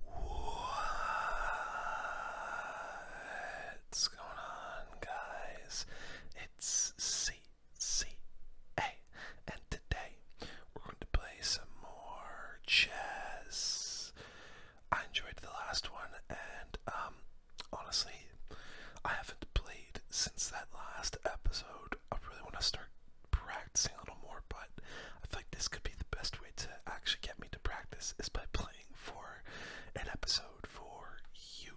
What's going on, guys? It's CCA, and today we're going to play some more chess. I enjoyed the last one, and um, honestly, I haven't played since that last episode. I really want to start practicing a little more, but I think this could be the best way to actually get me to practice is by playing for an episode for you.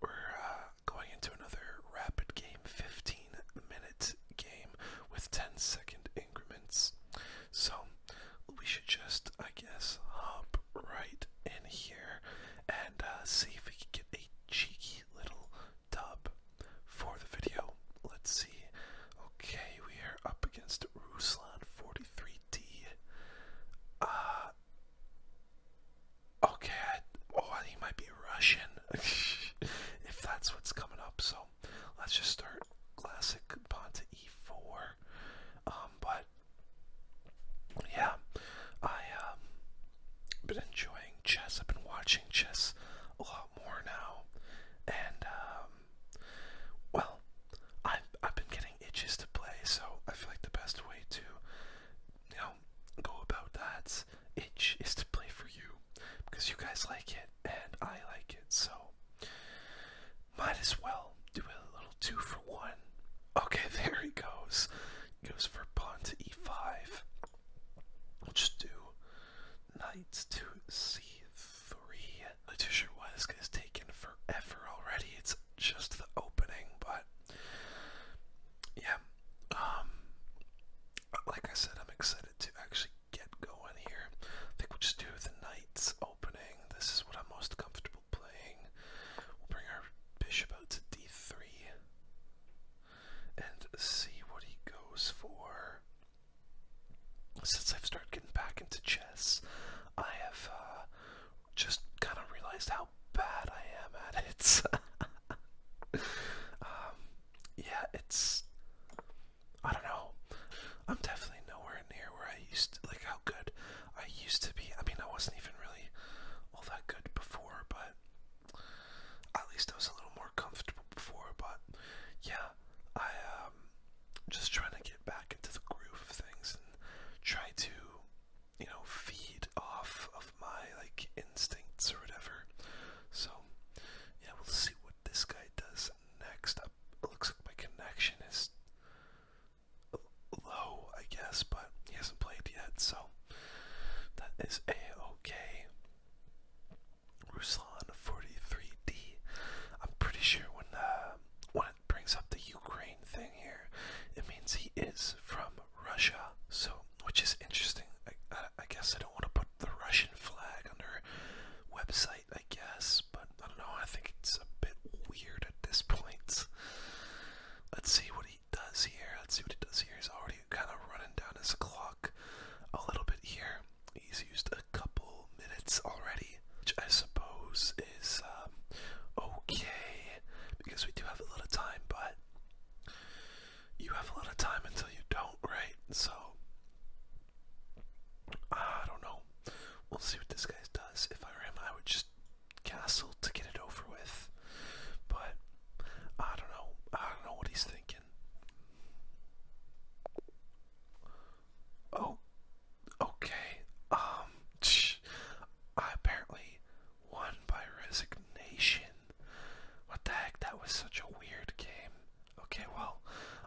We're uh, going into another rapid game, 15 minute game with 10 second increments. So we should just, I guess, hop right in here and uh, see if we can get a cheeky little dub for the video. Let's see. Okay, we are up against Ruslan 43D. Uh, okay, I, oh, he might be Russian if that's what's coming up. So let's just start classic Ponta E4. Um, but yeah, I um been enjoying chess. I've been watching chess a lot more now, and um, um, well, I've, I've been getting itches to play, so I feel like the best way to, you know, go about that itch is to play for you, because you guys like it, and I like it, so might as well do a little two for one. Okay, there he goes. goes for pawn to e5. We'll just do knight to c3. The two sure Wesk is taken forever already. It's just the opening, but yeah. Um, like I said, I'm excited to actually get going here. I think we'll just do the knight's opening. This is what I'm most comfortable playing. We'll bring our bishop out to d3 and see what he goes for since I've started getting back into chess, I have uh, just kind of realized how bad I am at it. Um, yeah, it's. I don't know. I'm definitely nowhere near where I used to, like how good I used to be. I mean, I wasn't even really all that good before, but at least I was a little more comfortable before. But yeah, I am um, just trying to get back into the groove of things and try to, you know, feed off of my like instincts or whatever. So yeah, we'll see what this guy does next. Up uh, looks like my connection is low, I guess, but he hasn't played yet, so that is a okay. Ruslan 43D. I'm pretty sure when uh, when it brings up the Ukraine thing here, it means he is from Russia. So, which is interesting. I, I, I guess I don't want to put the Russian flag under website. I guess, but I don't know. I think it's a bit weird at this point. Let's see what he does here. Let's see what he does here. He's already kind of running down his clock a little bit here. He's used a couple minutes already, which I suppose is um, okay because we do have a lot of time, but you have a lot of time until you don't, right? So, I don't know. We'll see what this guy does. If I were him, I would just castle to get it over with. But I don't know. I don't know what he's thinking. Oh, okay. Um, I apparently won by resignation. What the heck? That was such a weird game. Okay, well,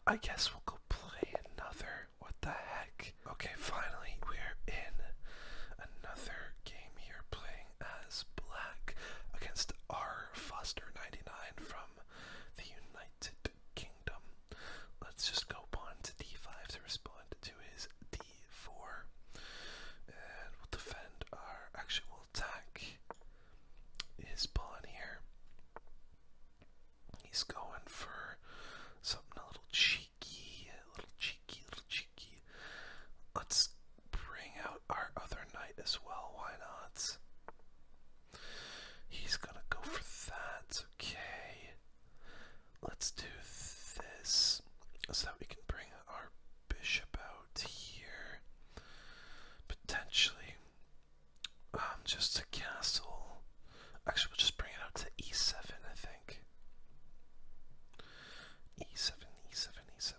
I guess we'll go play another. What the heck? Okay, finally, we're in another game here playing as Black against R. Foster99 from the United Kingdom. Let's just go pawn to d5 to respond to his d4. And we'll defend our. actual attack his pawn here. He's going for something a little cheeky, a little cheeky, a little cheeky. Let's bring out our other knight as well. Why not? He's gonna go for that. Okay. Let's do this so that we can bring our bishop out here. Potentially. Um, just to castle. Actually, we'll just bring it out to e7, I think. e7, e7, e7.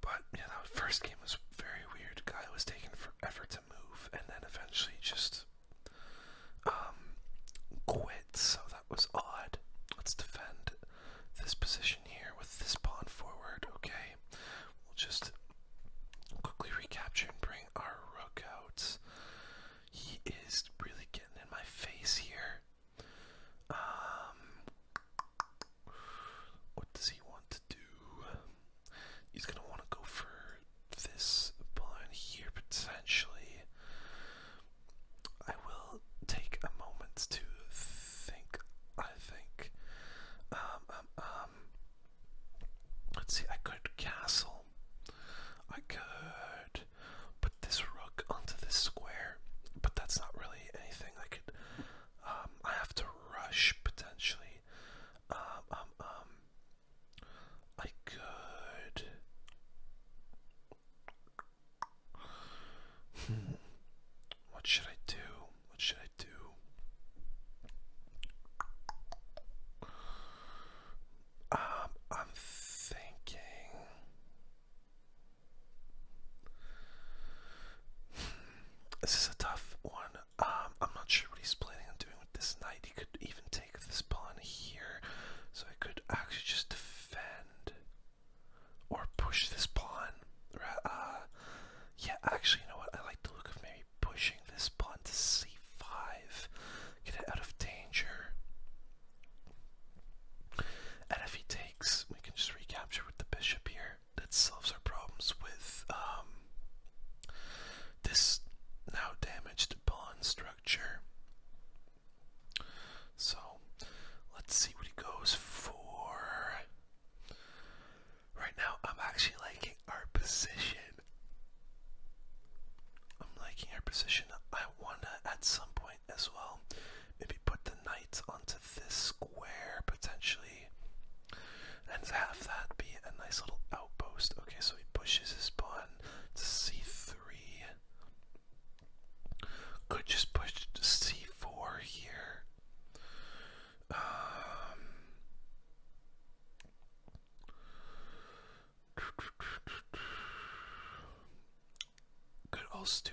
But yeah, that first game was very weird. Guy was taking forever to move, and then eventually just um, quit. So that was odd. Let's defend this position here with this pawn forward. Okay, we'll just quickly recapture and bring our rook out. He is really getting in my face here. Um, what does he want to do? He's gonna want to go for this pawn here potentially. I will take a moment to think. I think. Um, um, um, Let's see. I could castle. I could put this rook onto this square, but that's not really anything I could um, I have to rush potentially. Um, um, um I could. Hmm. What should I do? What should I do? Um, I'm thinking. This is a tough one. Um, I'm not sure what he's planning on doing with this knight. He could even take this pawn here, so I could actually just defend or push this pawn. Uh, yeah, actually, you know what? I like the look of maybe pushing this pawn to c5, get it out of danger. And we can just recapture with the bishop here. That solves our problems with um, this now damaged pawn structure. So let's see what he goes for. Right now, I'm actually liking our position. I'm liking our position. I want to, at some point, as well. Maybe put the knight onto this square potentially. And have that be a nice little outpost. Okay, so he pushes his pawn to c3. Could just push to c4 here. Um, could also do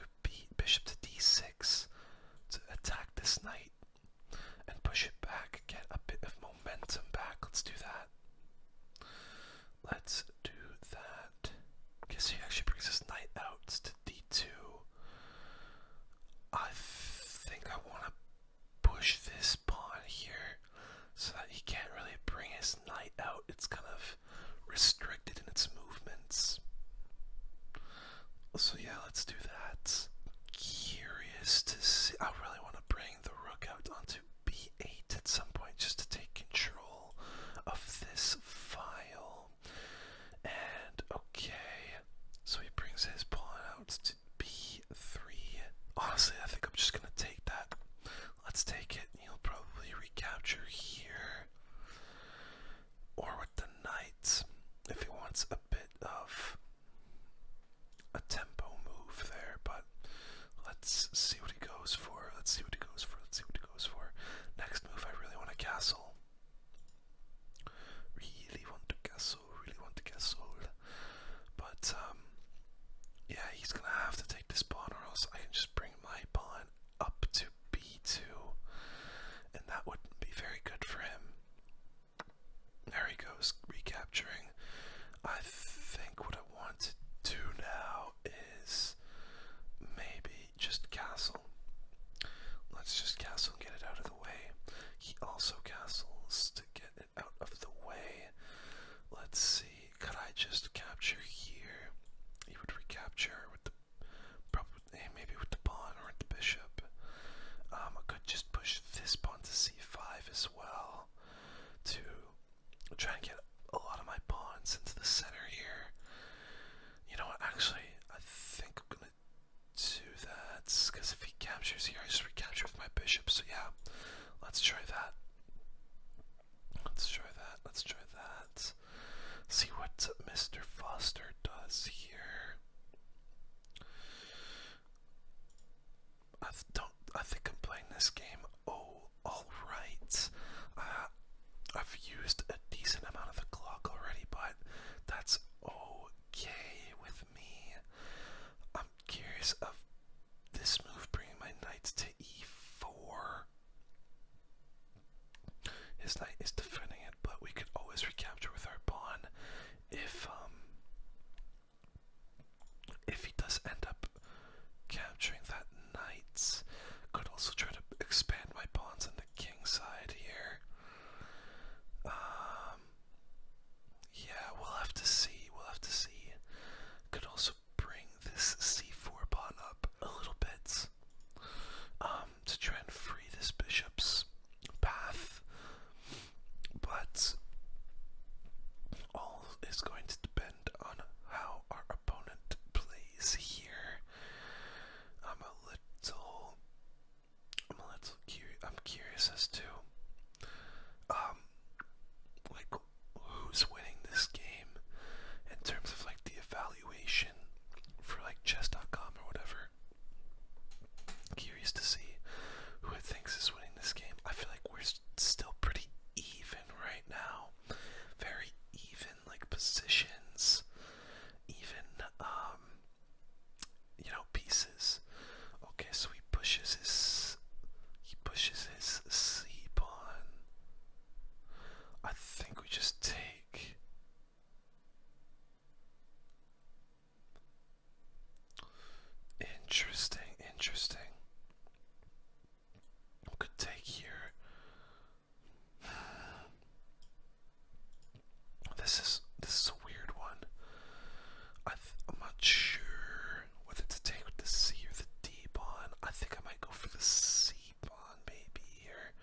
bishop to d6 to attack this knight and push it back, get a bit of momentum back. Let's do that. Let's do that. Guess he actually brings his knight out to d2. I think I want to push this pawn here so that he can't really bring his knight out. It's kind of restricted in its movements. So yeah, let's do that. Curious to see. I really want to bring the rook out onto b8 at some point just to take control of this file. And okay, so he brings his pawn out to b3. Honestly, I think I'm just gonna take that. Let's take it. He'll probably recapture here or with the knights if he wants a bit of a tempo move there. But let's see what he goes for. Let's see what he goes for. Let's see what he goes for. Next move, I really want a castle. Really want to castle. Really want to castle. But um, yeah, he's gonna have to take this pawn, or else I can just bring my pawn up to b2, and that wouldn't be very good for him. There he goes, recapturing. I think what I want to do now is maybe just castle. Let's just castle and get it out of the way. He also castles to get it out of the way. Let's see, could I just capture here? He would recapture with the probably eh, maybe with the pawn or with the bishop. Um, I could just push this pawn to c5 as well to try and get a lot of my pawns into the center here. You know what? Actually, I think I'm gonna do that because if he captures here, I just recapture with my bishop. So yeah, let's try that. Let's try that. Let's try that. See what Mr. Foster does here. I don't. I think I'm playing this game. Oh, all right. Uh, I've used a decent amount of the clock already, but that's okay with me. I'm curious of this move bringing my knights to e4. His knight is defending it, but we could always recapture with our pawn if um, if he does end up capturing that knight. Could also try to expand my pawns on the king side here. Um, yeah, we'll have to see. We'll have to see. Could also bring this c4 pawn up a little bit um, to try and free this bishop's path, but all is going to depend on how our opponent plays here. I'm a little, I'm a little curious. I'm curious as to, um, like who's winning this game in terms of like the evaluation valuation for like chess.com or whatever. Curious to see who it thinks is winning this game. I feel like we're still pretty even right now. Very even, like positions, even, um, you know, pieces. Okay, so he pushes his, he pushes his c pawn. I think we just take. Interesting, interesting. We could take here. This is this is a weird one. I I'm not sure whether to take the C or the D bond. I think I might go for the C keep baby, or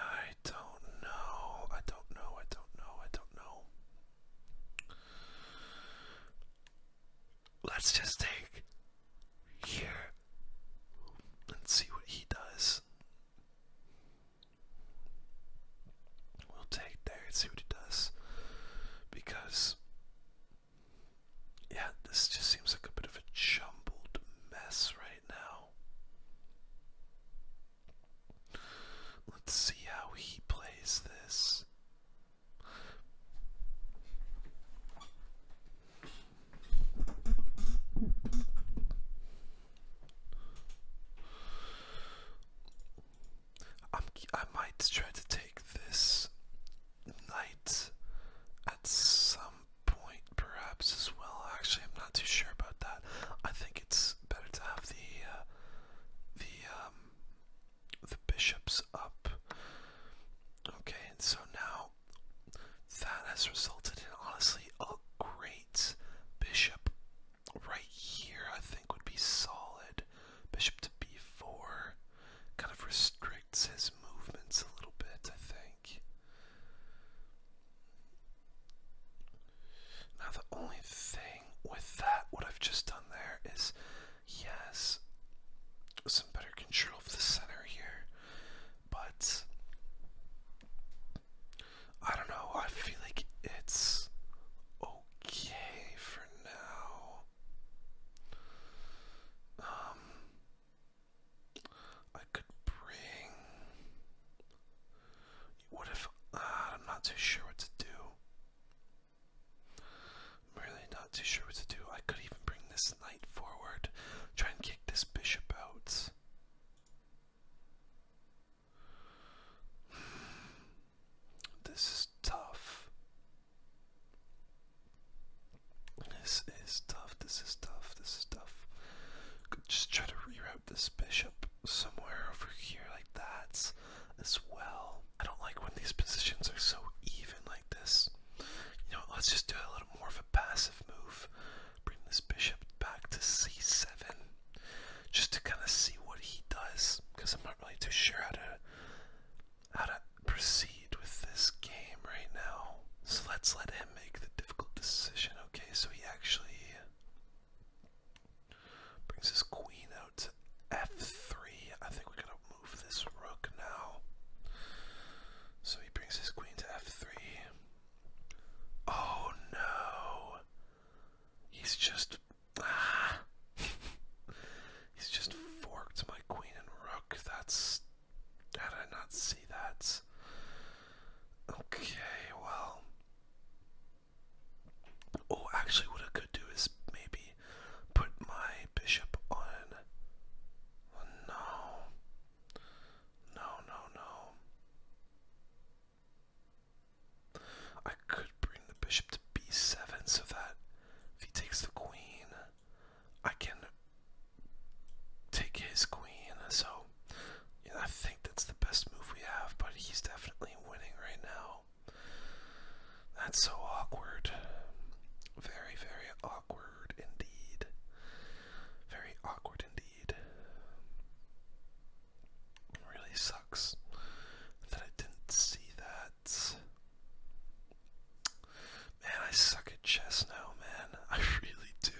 I don't know. I don't know. I don't know. I don't know. Let's just take here and see what he does. We'll take there and see what he does. Because yeah, this just seems like a bit of a jumbled mess right now. Let's see how he plays this. I'm, I might try to take this night at some point, perhaps as well. Actually, I'm not too sure about that. I think it's better to have the uh, the um, the bishops up. Okay, and so now that has resulted in honestly a great bishop right here. I think would be solid. Bishop to b4, kind of restrict restricts his movements a little bit, I think. Now, the only thing with that, what I've just done there, is yes, some better control of the center here, but I don't know, I feel like it's okay for now. Um, I could bring. What if uh, I'm not too sure what to do? I'm really not too sure what to do. I could even bring this knight forward, try and kick this bishop out. Hmm, this is tough. This is tough, this is tough, this is tough. Could just try to reroute this bishop somewhere over here like that as well. I don't like when these positions are so even like this. You know, let's just do a little more of a passive move. Bring this bishop back to c7 just to kind of see what he does because I'm not really too sure how to how to proceed with this game right now. So let's let him make the difficult decision. Okay, so he actually brings his queen out to f3. I think we are going to move this rook now. So he brings his queen to f3. Oh no! He's just. Ah. He's just forked my queen and rook. That's. How did I not see that? Okay, well. Oh, actually, what I could do is maybe put my bishop on. Oh, no. No, no, no. I could bring the bishop to b7 so that if he takes the queen. I can take his queen, so you I think that's the best move we have, but he's definitely winning right now. That's so awkward. Very, very awkward indeed. Very awkward indeed. really sucks that I didn't see that. Man, I suck at chess now, man. I really do.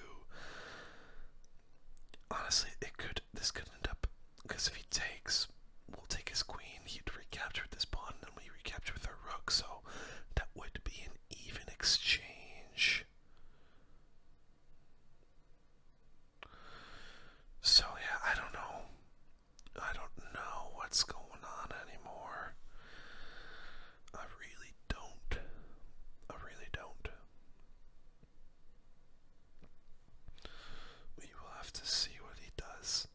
Honestly, it could. This could end up because if he takes, we'll take his queen. He'd recapture with this pawn, and we recapture with our rook. So that would be an even exchange. So yeah, I don't know. I don't know what's going on anymore. I really don't. I really don't. We will have to see what he does.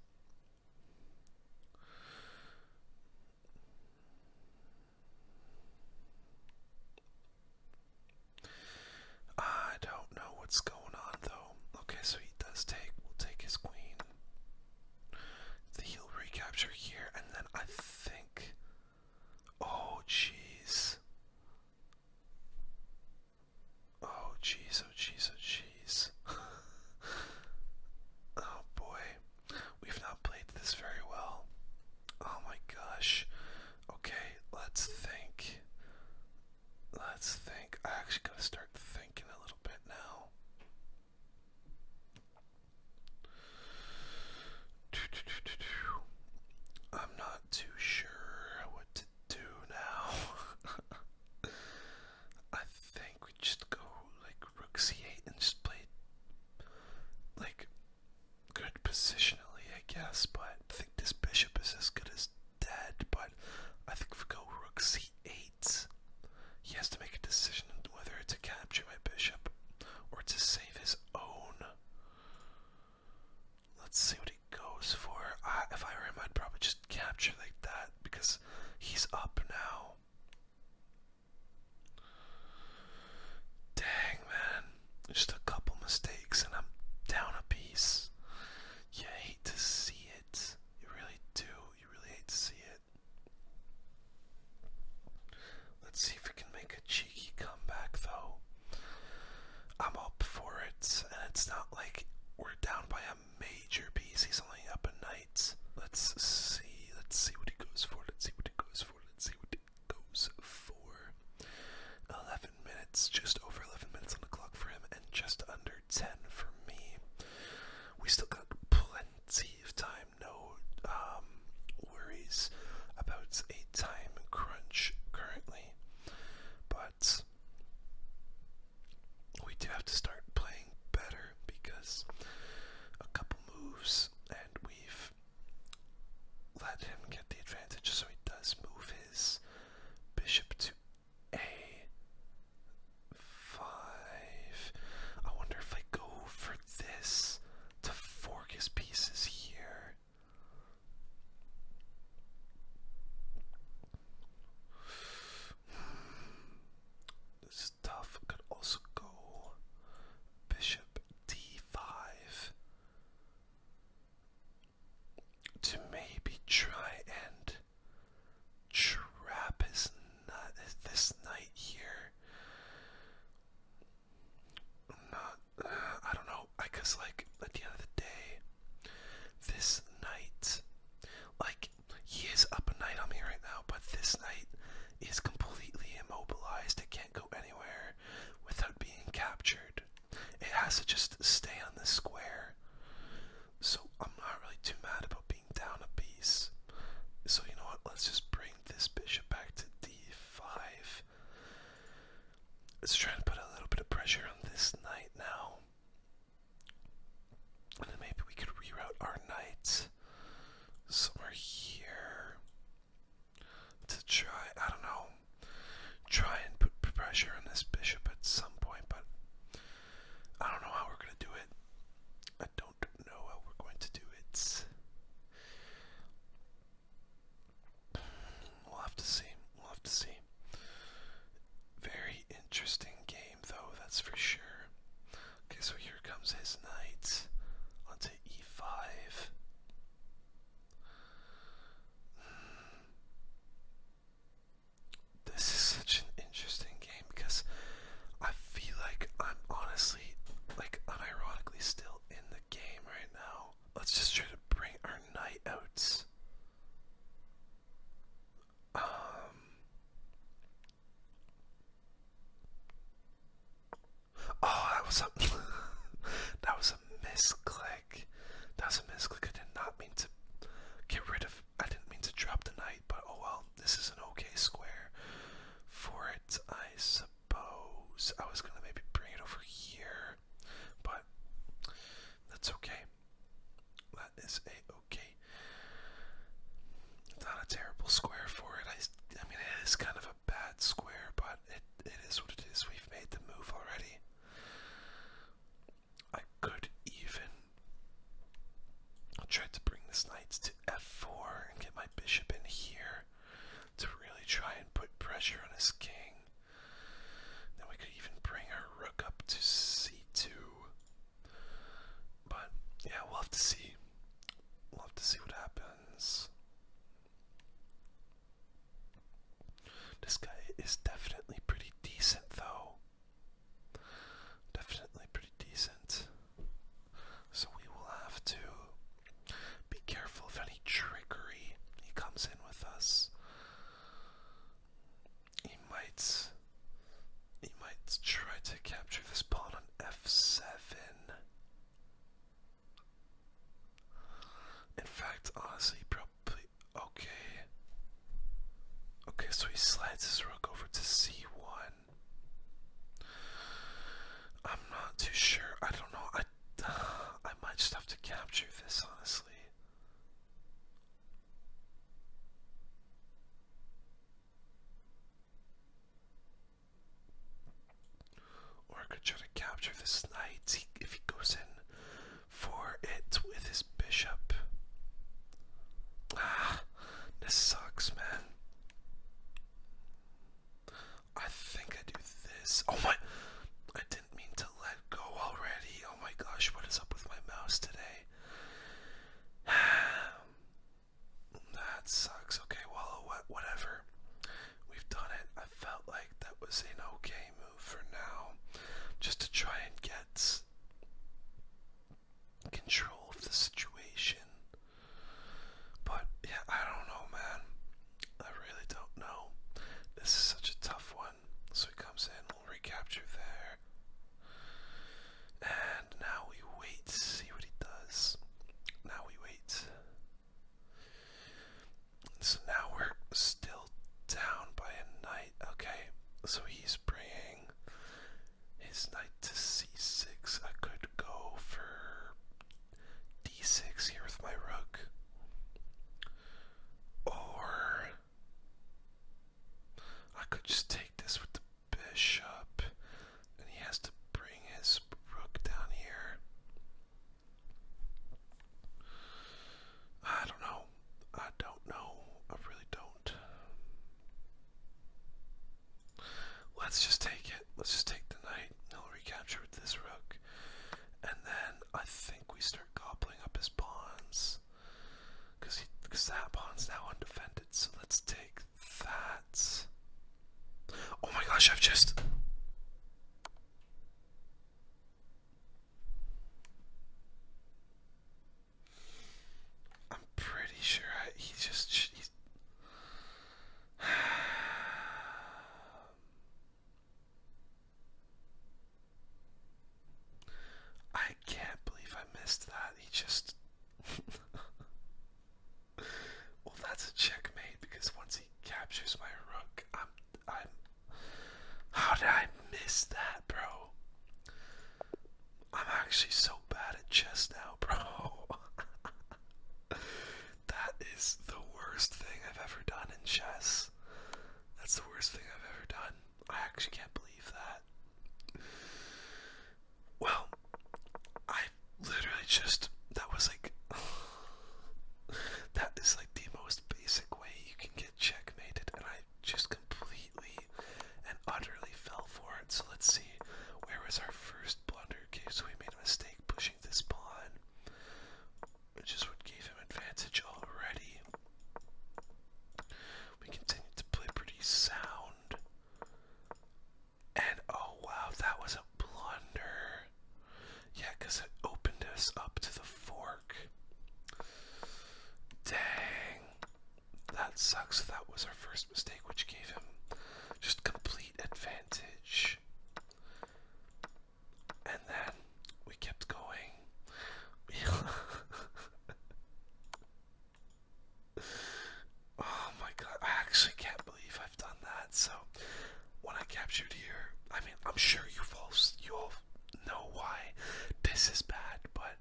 I don't know what's going on though. Okay, so he does take we'll take his queen. The heal recapture here, and then I think. Oh, jeez. Oh, jeez, oh, jeez, oh, jeez. oh, boy. We've not played this very well. Oh, my gosh. Okay, let's think. Let's think. I actually gotta start thinking a little bit now. I'm not too sure what to do now. I think we just go like rook c8 and just play like good positionally, I guess, but I think this bishop is as good as dead, but I think if we go rook c8, he has to make a decision whether to capture my bishop or to save his own. Let's see what he goes for. if I were him, I'd probably just capture like that because he's up now. Dang, man. Just a couple mistakes and I'm down a piece. You hate to see it. You really do. You really hate to see it. Let's see if we can make a cheeky comeback, though. I'm up for it, and it's not like we're down by a major piece. He's only up a night. Let's see. Let's see what he goes for. Let's see what he goes for. Let's see what he goes for. 11 minutes, just over 11 minutes on the clock for him, and just under. 10 for me. We still got plenty of time, no um, worries about a time crunch currently. But we do have to start playing better because a couple moves and we've let him get the advantage so he does move his bishop to a five. I wonder if I go for this to fork his pieces here. Hmm. This is Could also go bishop d5 to maybe try and trap his nut this night here. Not, I don't know, I cause like at the end of the day, this night, like he is up a night on me right now, but this night is completely immobilized. It can't go anywhere without being captured. It has to just stay on the square. So I'm not really too mad about being down a piece. So you know what? Let's just bring this bishop back to d5. Let's try to put a little bit of pressure on this knight now. And then maybe we could reroute our knight somewhere here to try. I don't know try and put pressure on this bishop at some point, but I don't know how we're going to do it. I don't know how we're going to do it. We'll have to see. We'll have to see. Very interesting game, though, that's for sure. Okay, so here comes his knight onto e5. This is such an interesting game because I feel like I'm honestly, like, unironically still in the game right now. Let's just try to bring our night outs. Um. Oh, that was a that was a misclick. That's a mistake. I did not mean to get rid of. I didn't mean to drop the knight, but oh well. This is an okay square for it, I suppose. I was gonna maybe bring it over here, but that's okay. That is a okay. Not a terrible square for it. I, I mean, it is kind of a bad square, but it it is what it is. We've made the move already. I could even try to bring this knight to f4 and get my bishop in here to really try and put pressure on his king. Then we could even bring our rook up to c2. But yeah, we'll have to see. We'll have to see what happens. This guy is definitely pretty decent, though. Definitely pretty decent. So we will have to be careful of any trickery he comes in with us. He might. He might try to capture this pawn on f7. In fact, honestly, probably Okay. Okay, so he slides his rook over to c1. I'm not too sure. I don't know. I I might just have to capture this, honestly. Or I could try to capture this knight if he goes in for it with his bishop. Ah, this sucks, man. I think I do this. Oh my, I didn't mean to let go already. Oh my gosh, what is up with my mouse today? that sucks. Okay, well, whatever. We've done it. I felt like that was an okay move for now, just to try and get control of the situation. But yeah, I don't know, man. I really don't know. This is such a tough one. So he comes in, we'll recapture there. And now we wait, see what he does. Now we wait. So now we're still down by a knight. Okay, so he's bringing his knight to c6. I could go for d6 here with my rook. Or I could just take this with the bishop, and he has to bring his rook down here. I don't know. I don't know. I really don't. Let's just take it. Let's just take the knight. He'll recapture with this rook. And then I think we start gobbling up his pawns. Because that pawn's now undefended. So let's take that. Oh my gosh, I've just. I'm pretty sure I, he just he's I can't believe I missed that. He just Well, that's a checkmate because once he captures my rook, I'm I'm how did I miss that, bro? I'm actually so bad at chess now, bro. that is the worst thing I've ever done in chess. That's the worst thing I've ever done. I actually can't believe that. Well, I literally just. That was like. that is the most basic way you can get checkmated, and I just completely and utterly fell for it. So let's see, where was our first blunder? Okay, so we made a mistake pushing this pawn, which is what gave him advantage already. We continued to play pretty sound. And oh wow, that was a blunder. Yeah, because it opened us up to the fork. Dang. That sucks. That was our first mistake, which gave him just complete advantage. And then we kept going. oh my god, I actually can't believe I've done that. So one I captured here. I mean, I'm sure you all you all know why this is bad, but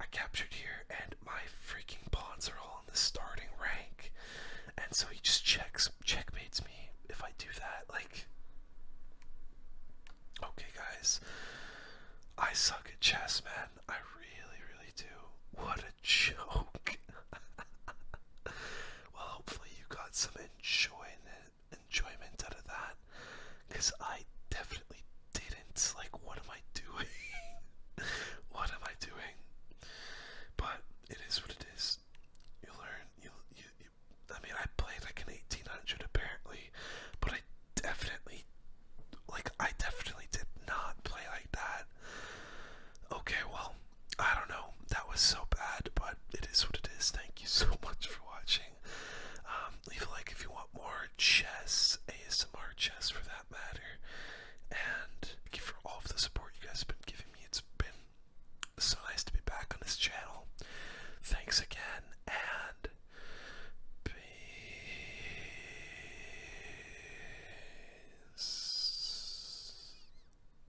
I captured here, and my freaking pawns are all in the starting rank, and so he just checks checkmates me if I do that. Like, okay, guys, I suck at chess, man. I really, really do. What a joke. well, hopefully you got some enjoying it, enjoyment out of that because I definitely didn't. Like, what am I doing? what am I doing? But it is what it is. You learn. you, you I mean, I played like an 1800 apparently, but I definitely, like, I definitely did not play like that. Okay, well, I don't know. That was so bad, but it is what it is. Thank you so much for watching. Um, leave a like if you want more chess, ASMR chess for that matter. And thank you for all of the support you guys have been giving me. It's been so nice to be back on this channel. Thanks again, and peace.